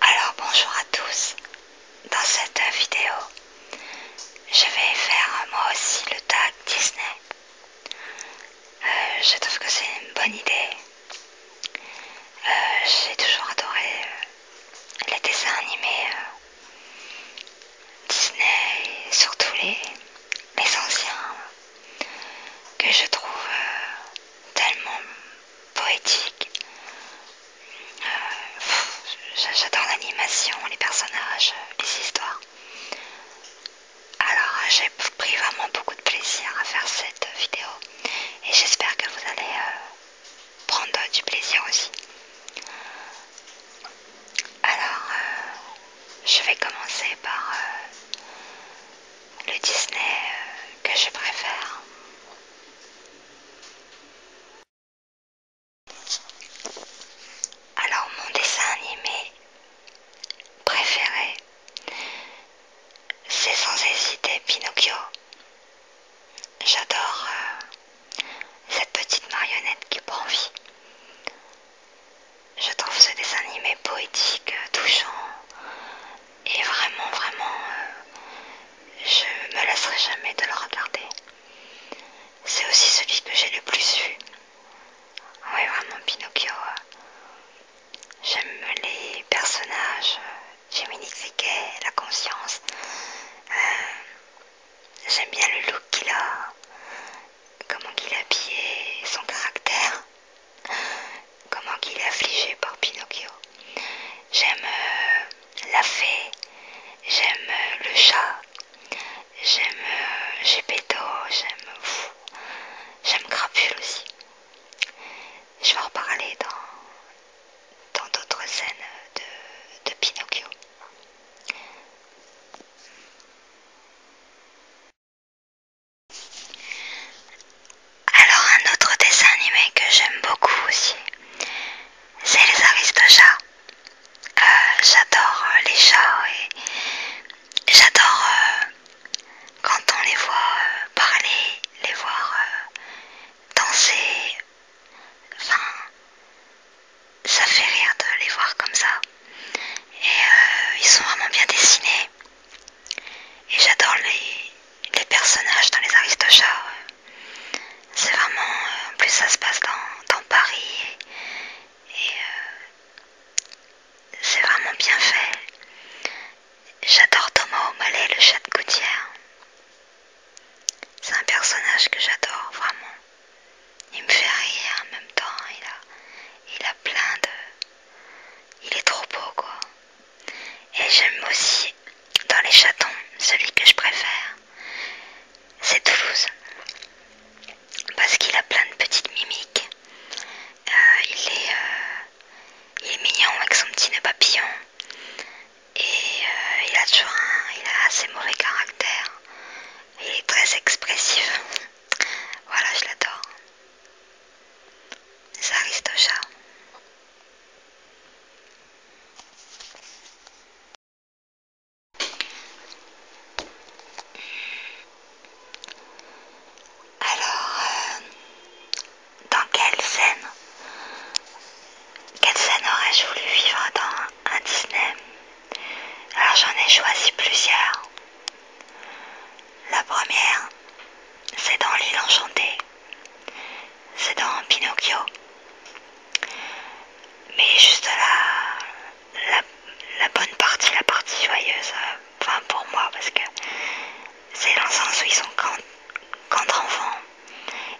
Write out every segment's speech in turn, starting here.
Alors bonjour à tous. Dans cette vidéo, je vais faire moi aussi le tag Disney. Euh, je trouve que c'est une bonne idée. Euh, j'ai toujours adoré euh, les dessins animés Disney, surtout les, anciens, que je trouve tellement poétique. Euh, j'adore l'animation, les personnages, euh, les histoires. Alors euh, j'ai pris vraiment beaucoup de plaisir à faire cette vidéo et j'espère que vous allez prendre du plaisir aussi. Alors je vais commencer par le Disney euh, que je préfère. Alors mon dessin animé préféré, c'est sans hésiter Pinocchio. J'adore euh, cette petite marionnette qui prend vie. Je trouve ce dessin animé poétique, euh, touchant, et vraiment, vraiment, euh, je me lasserai jamais de le regarder. C'est aussi celui que j'ai le plus vu. Oui, vraiment, Pinocchio. Euh, j'aime les personnages. Jiminy euh, Cricket, la conscience. J'aime bien le look qu'il a, comment qu'il habille son caractère comment qu'il est affligé par Pinocchio. J'aime euh, la fée, j'aime euh, le chat, j'aime Gepetto, euh, j'aime j'aime Crapule aussi. Je vais en parler dans d'autres scènes de Pinocchio. Alors un autre dessin animé que j'aime beaucoup aussi, c'est les Aristochats. Euh, j'adore euh, les chats et j'adore euh, quand on les voit parler, les voir danser. Enfin, ça fait rire de les voir comme ça. Et ils sont vraiment bien dessinés. Et j'adore les, les personnages dans les Aristochats. C'est vraiment. Euh, en plus, ça se passe dans, Paris. Et, euh, c'est vraiment bien fait. J'adore Thomas O'Malley, le chat de gouttière. C'est un personnage que j'adore vraiment. Il me fait rire en même temps. Il a, il a plein de. Il est trop beau quoi. Et j'aime aussi, dans les chatons, celui que je préfère, c'est Toulouse. Parce qu'il a plein de petites mimiques. Euh, euh, il, est, mignon avec son petit nœud papillon. Et euh, il a toujours un, il a assez mauvais caractère. Il est très expressif. voilà, je l'adore. C'est Aristocha. Alors, euh, dans quelle scène Quelle scène aurais-je voulu vivre dans un Disney Alors j'en ai choisi plusieurs. La première, c'est dans l'île enchantée. C'est dans Pinocchio. Mais juste la, la, bonne partie, la partie joyeuse, enfin pour moi, parce que c'est dans le sens où ils sont quand, enfants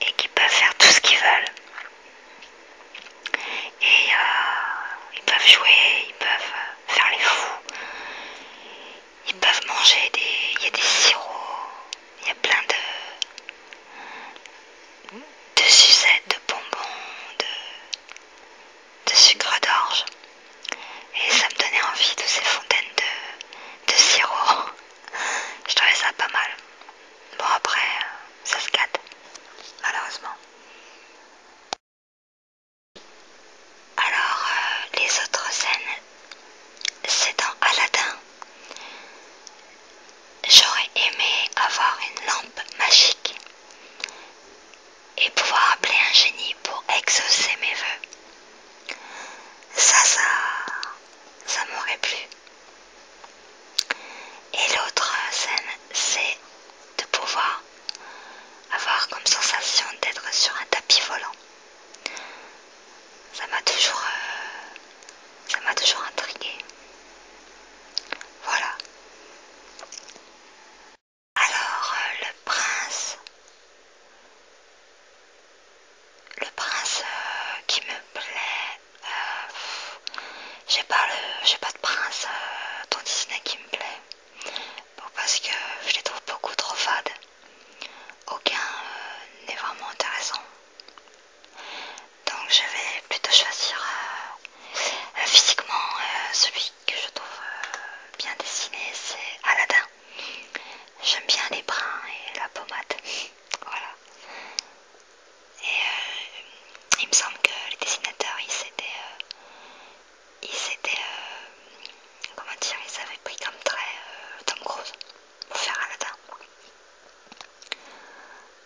et qu'ils peuvent faire tout ce qu'ils veulent. Et euh, ils peuvent jouer, ils peuvent faire les fous, ils peuvent manger des. Il y a des sirops, il y a plein de. de sucettes, de bonbons, de. de sucre d'orge. Et ça me donnait envie de ces fontaines de, de sirop. Je trouvais ça pas mal. Bon, après, ça se gâte, malheureusement. Alors, euh, les autres scènes, c'est dans Aladdin. J'aurais aimé avoir une lampe magique et pouvoir appeler un génie pour exaucer mes vœux, Ça, ça, ça m'aurait plu. Et l'autre scène, c'est de pouvoir avoir comme sensation d'être sur un tapis volant. Ça m'a toujours, euh, ça m'a toujours intrigué. Voilà. Alors euh, le prince, le prince euh, qui me plaît, j'ai pas le, j'ai pas de prince dans Disney qui me plaît, parce que je les trouve beaucoup trop fades aucun euh, n'est vraiment intéressant. Donc je vais plutôt choisir euh, physiquement euh, celui que je trouve bien dessiné, c'est Aladdin. J'aime bien les brins et la pommade. voilà. Et il me semble que les dessinateurs, ils s'étaient comment dire, ils avaient pris comme très euh, Tom Cruise pour faire Aladdin.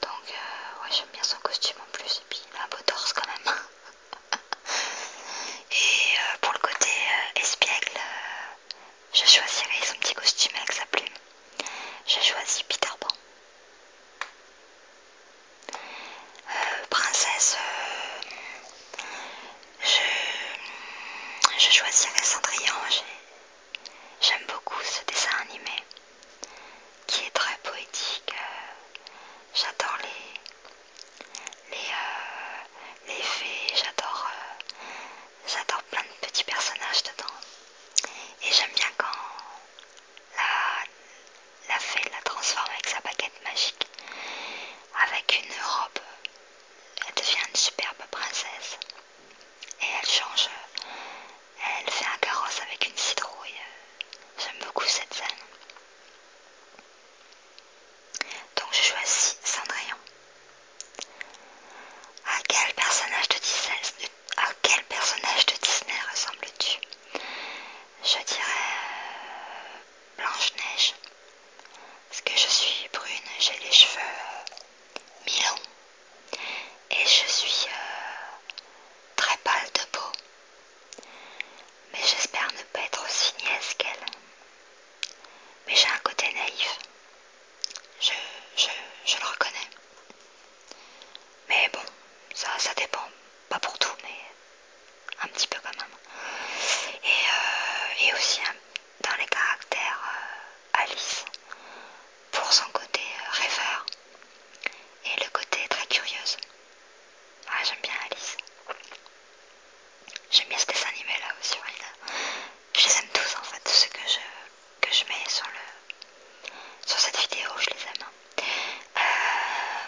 Donc, euh, ouais, j'aime bien son costume en plus, et puis il a un beau torse quand même. et euh, pour le côté espiègle, je choisirais son petit costume avec sa plume. J'ai choisi Peter Pan. princesse, je, choisirais Cendrillon. J'aime beaucoup ce dessin animé qui est très poétique. Euh, j'adore les, les, euh, fées, euh, j'adore plein de petits personnages dedans. Et j'aime bien quand la, la fée la transforme avec sa baguette magique, avec une robe elle devient une superbe princesse. Et elle change, elle fait un carrosse avec une citrouille. J'aime beaucoup cette scène. Donc je choisis Cendrillon. À quel personnage de Disney, ressembles-tu Je dirais euh, Blanche-Neige. Parce que je suis brune, j'ai les cheveux euh, mi-longs et je suis euh, très pâle de peau. Mais j'espère ne pas être aussi niaise qu'elle. Mais j'ai un côté naïf. Je, je, le reconnais. Mais bon, ça, ça dépend. Pas pour tout, mais un petit peu quand même. Et, euh, et aussi dans les caractères euh, Alice pour son côté euh, rêveur et le côté très curieuse. Ah, j'aime bien Alice. J'aime bien ce dessin animé là aussi. Je les aime tous en fait, ceux que je, mets sur, le, sur cette vidéo, je les aime. Hein. Euh,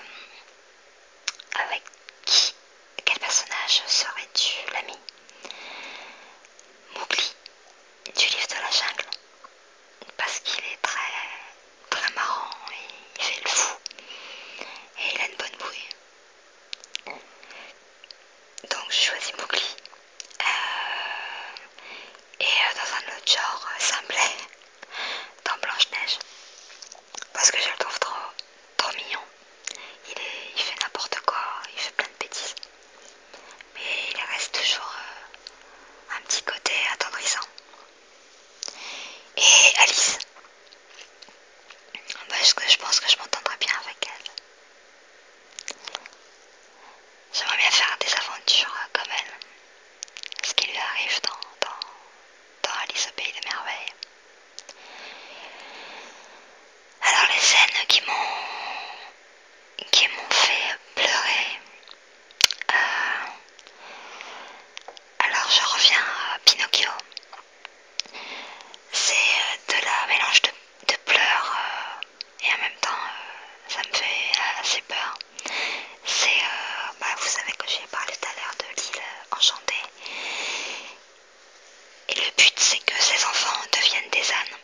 avec qui quel personnage serais-tu, l'ami Mowgli du livre de la jungle, parce qu'il est très très marrant, il fait le fou et il a une bonne bouille. Donc je choisis Mowgli. Euh, et euh, dans un autre genre, ça euh, dans Blanche-Neige, parce que je le trouve trop trop mignon. Il, fait n'importe quoi, il fait plein de bêtises. Mais il reste toujours euh, un petit côté attendrissant. Et Alice bah, je, je pense que je m'entendrai bien avec elle. J'aimerais bien faire des aventures euh, comme elle. Ce qui lui arrive dans, dans, dans Alice au Pays des Merveilles. Alors les scènes qui m'ont qui m'ont fait pleurer. Euh, alors je reviens à Pinocchio. C'est euh, de la mélange de, pleurs euh, et en même temps ça me fait assez peur. C'est, bah, vous savez que j'ai parlé tout à l'heure de l'île enchantée et le but c'est que ces enfants deviennent des ânes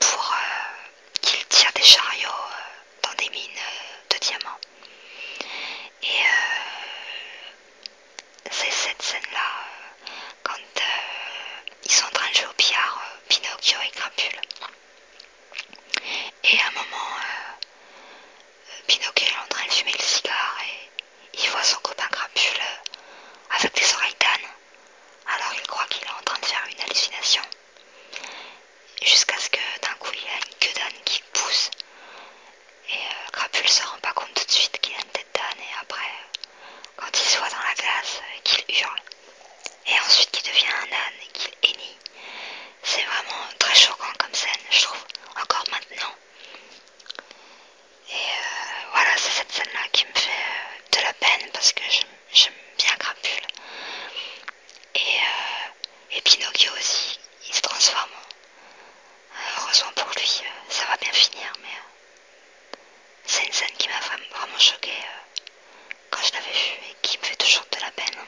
pour euh, qu'ils tirent des chariots euh, dans des mines euh, de diamants. Et c'est cette scène-là, quand ils sont en train de jouer au billard, Pinocchio et Grappule. Et à un moment, Pinocchio est en train de fumer le cigare et il voit son copain crapule euh, avec des oreilles d'âne. Alors il croit qu'il est en train de faire une hallucination. Jusqu'à ce que d'un coup il a une queue d'âne qui pousse. Et Grappule euh, ne se rend pas compte tout de suite qu'il a une tête d'âne. Et après, euh, quand il se voit dans la glace, qu'il hurle. Et ensuite qu'il devient un âne et qu'il hennit. C'est vraiment très choquant comme scène, je trouve, encore maintenant. Et euh, voilà, c'est cette scène-là qui me fait euh, de la peine parce que j'aime bien Crapule. Euh, et, Pinocchio aussi, il se transforme. Heureusement pour lui, ça va bien finir, mais c'est une scène qui m'a vraiment choquée quand je l'avais vue et qui me fait toujours de la peine.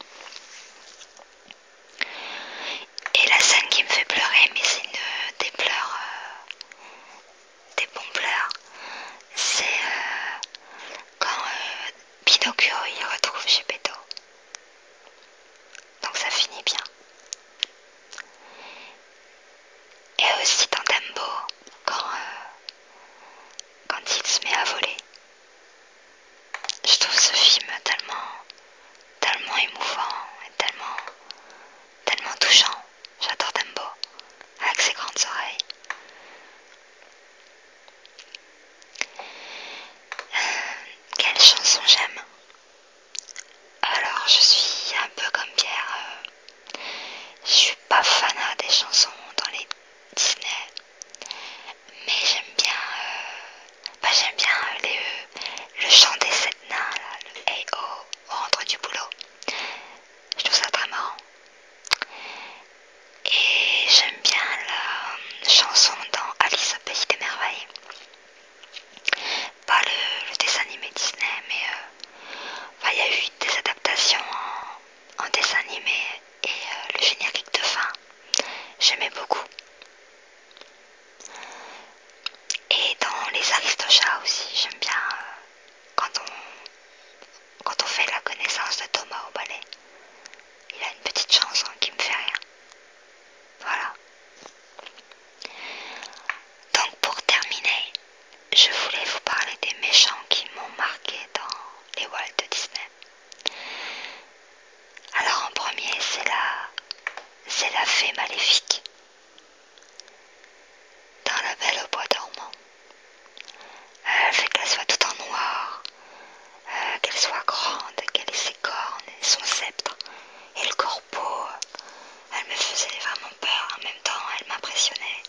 Et la scène qui me fait pleurer, mais c'est une des pleurs des bons pleurs, c'est euh, quand euh, Pinocchio il retrouve Geppetto. Donc ça finit bien. Et aussi dans Dumbo, quand, euh, quand il se met à voler. Je trouve ce film tellement, tellement émouvant et tellement tellement touchant. J'adore Dumbo, avec ses grandes oreilles. Euh, quelle chanson j'aime Alors, je suis un peu comme Pierre. Euh, je suis pas fan euh, des chansons dans les Disney, mais j'aime bien, bah, j'aime bien les, le chant des sept nains, le Hey rentre du boulot. Je trouve ça très marrant. Et j'aime bien la chanson dans Alice au Pays des Merveilles. Pas le, dessin animé Disney, mais euh, il y a eu des adaptations en, dessin animé et euh, le générique de fin. J'aimais beaucoup. Et dans les Aristochats aussi, j'aime bien euh, quand, on, quand on fait la connaissance de Thomas au ballet. Il a une petite chanson qui me fait rien. Voilà. Donc pour terminer, je voulais vous parler des méchants qui m'ont marqué dans les Walt de Disney. Alors en premier, c'est la, c'est la fée maléfique dans la belle au bois dormant. Elle euh, fait qu'elle soit tout en noir, euh, qu'elle soit grande, qu'elle ait ses cornes, son sceptre et le corbeau. Elle me faisait vraiment peur, en même temps elle m'impressionnait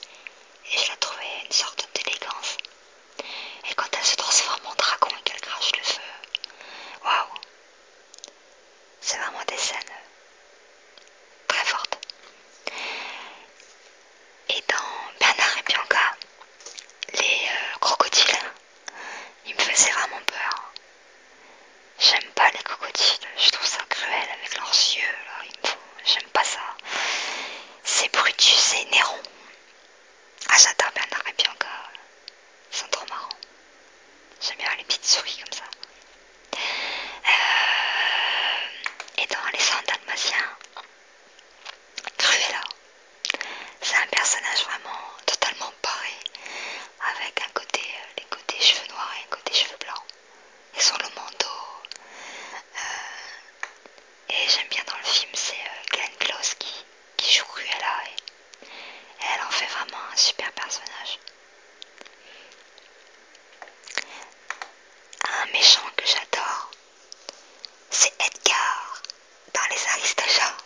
et je la trouvais une sorte d'élégance. Et quand elle se transforme en dragon et qu'elle crache le feu, waouh, c'est vraiment des scènes euh, très fortes. Et dans Bernard et Bianca, les euh, crocodiles, ils me faisaient vraiment peur. J'aime pas les crocodiles, je trouve ça cruel avec leurs yeux, j'aime pas ça. C'est Brutus et Néron. Ah j'adore Bernard et Bianca, euh, ils sont trop marrants. J'aime bien les petites souris comme ça. Euh, et dans Les cendres d'Almatien, Cruella, c'est un personnage vraiment totalement pareil, avec un côté, euh, les côtés cheveux noirs et un côté cheveux blancs, et sur le manteau. Euh, et j'aime bien dans le film, c'est Glenn Close qui, joue Cruella, et elle en fait vraiment un super personnage. Un méchant que j'adore, c'est Edgar dans Les Aristochats.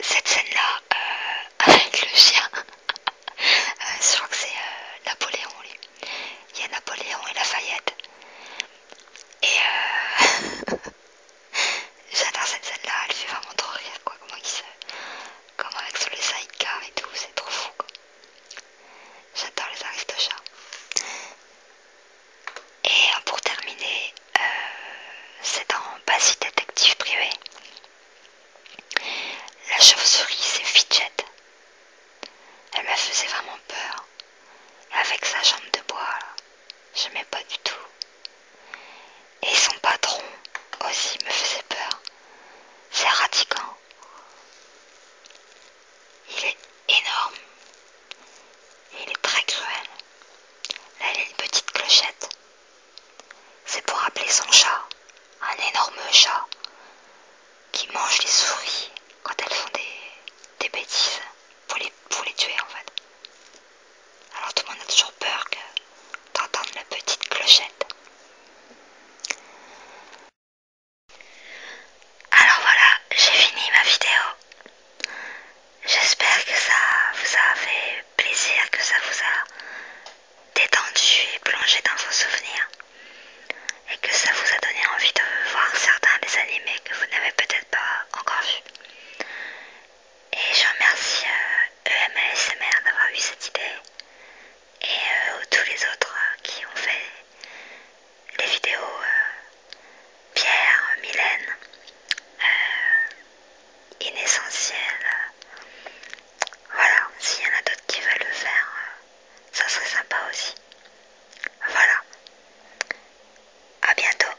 Cette scène-là, euh, avec le chien, euh, je crois que c'est euh, Napoléon, Il y a Napoléon et Lafayette. Et j'adore cette scène-là, elle fait vraiment trop rire, quoi. Comment il comme avec sur les sidecars et tout, c'est trop fou quoi. J'adore les aristochats. Et euh, pour terminer, euh, c'est dans basi Détective Privé. La chauve-souris, c'est Fidget. Elle me faisait vraiment peur. Avec sa jambe de bois, je mets pas du tout. Et son patron aussi me faisait peur. C'est radicant. Il est énorme. Et Il est très cruel. Là, il a une petite clochette. C'est pour appeler son chat, un énorme chat, qui mange les souris quand elles font des, bêtises pour les, tuer en fait. Alors tout le monde a toujours peur que d'entendre la petite clochette. Alors voilà, j'ai fini ma vidéo. J'espère que ça vous a fait plaisir, que ça vous a détendu et plongé dans vos souvenirs. Et que ça vous a donné envie de voir certains des animés que vous n'avez peut-être pas encore vus. Et je remercie EMASMR euh, e d'avoir eu cette idée et euh, tous les autres euh, qui ont fait les vidéos euh, Pierre, Mylène, Inessentiel. Voilà, s'il y en a d'autres qui veulent le faire, ça serait sympa aussi. Voilà, à bientôt.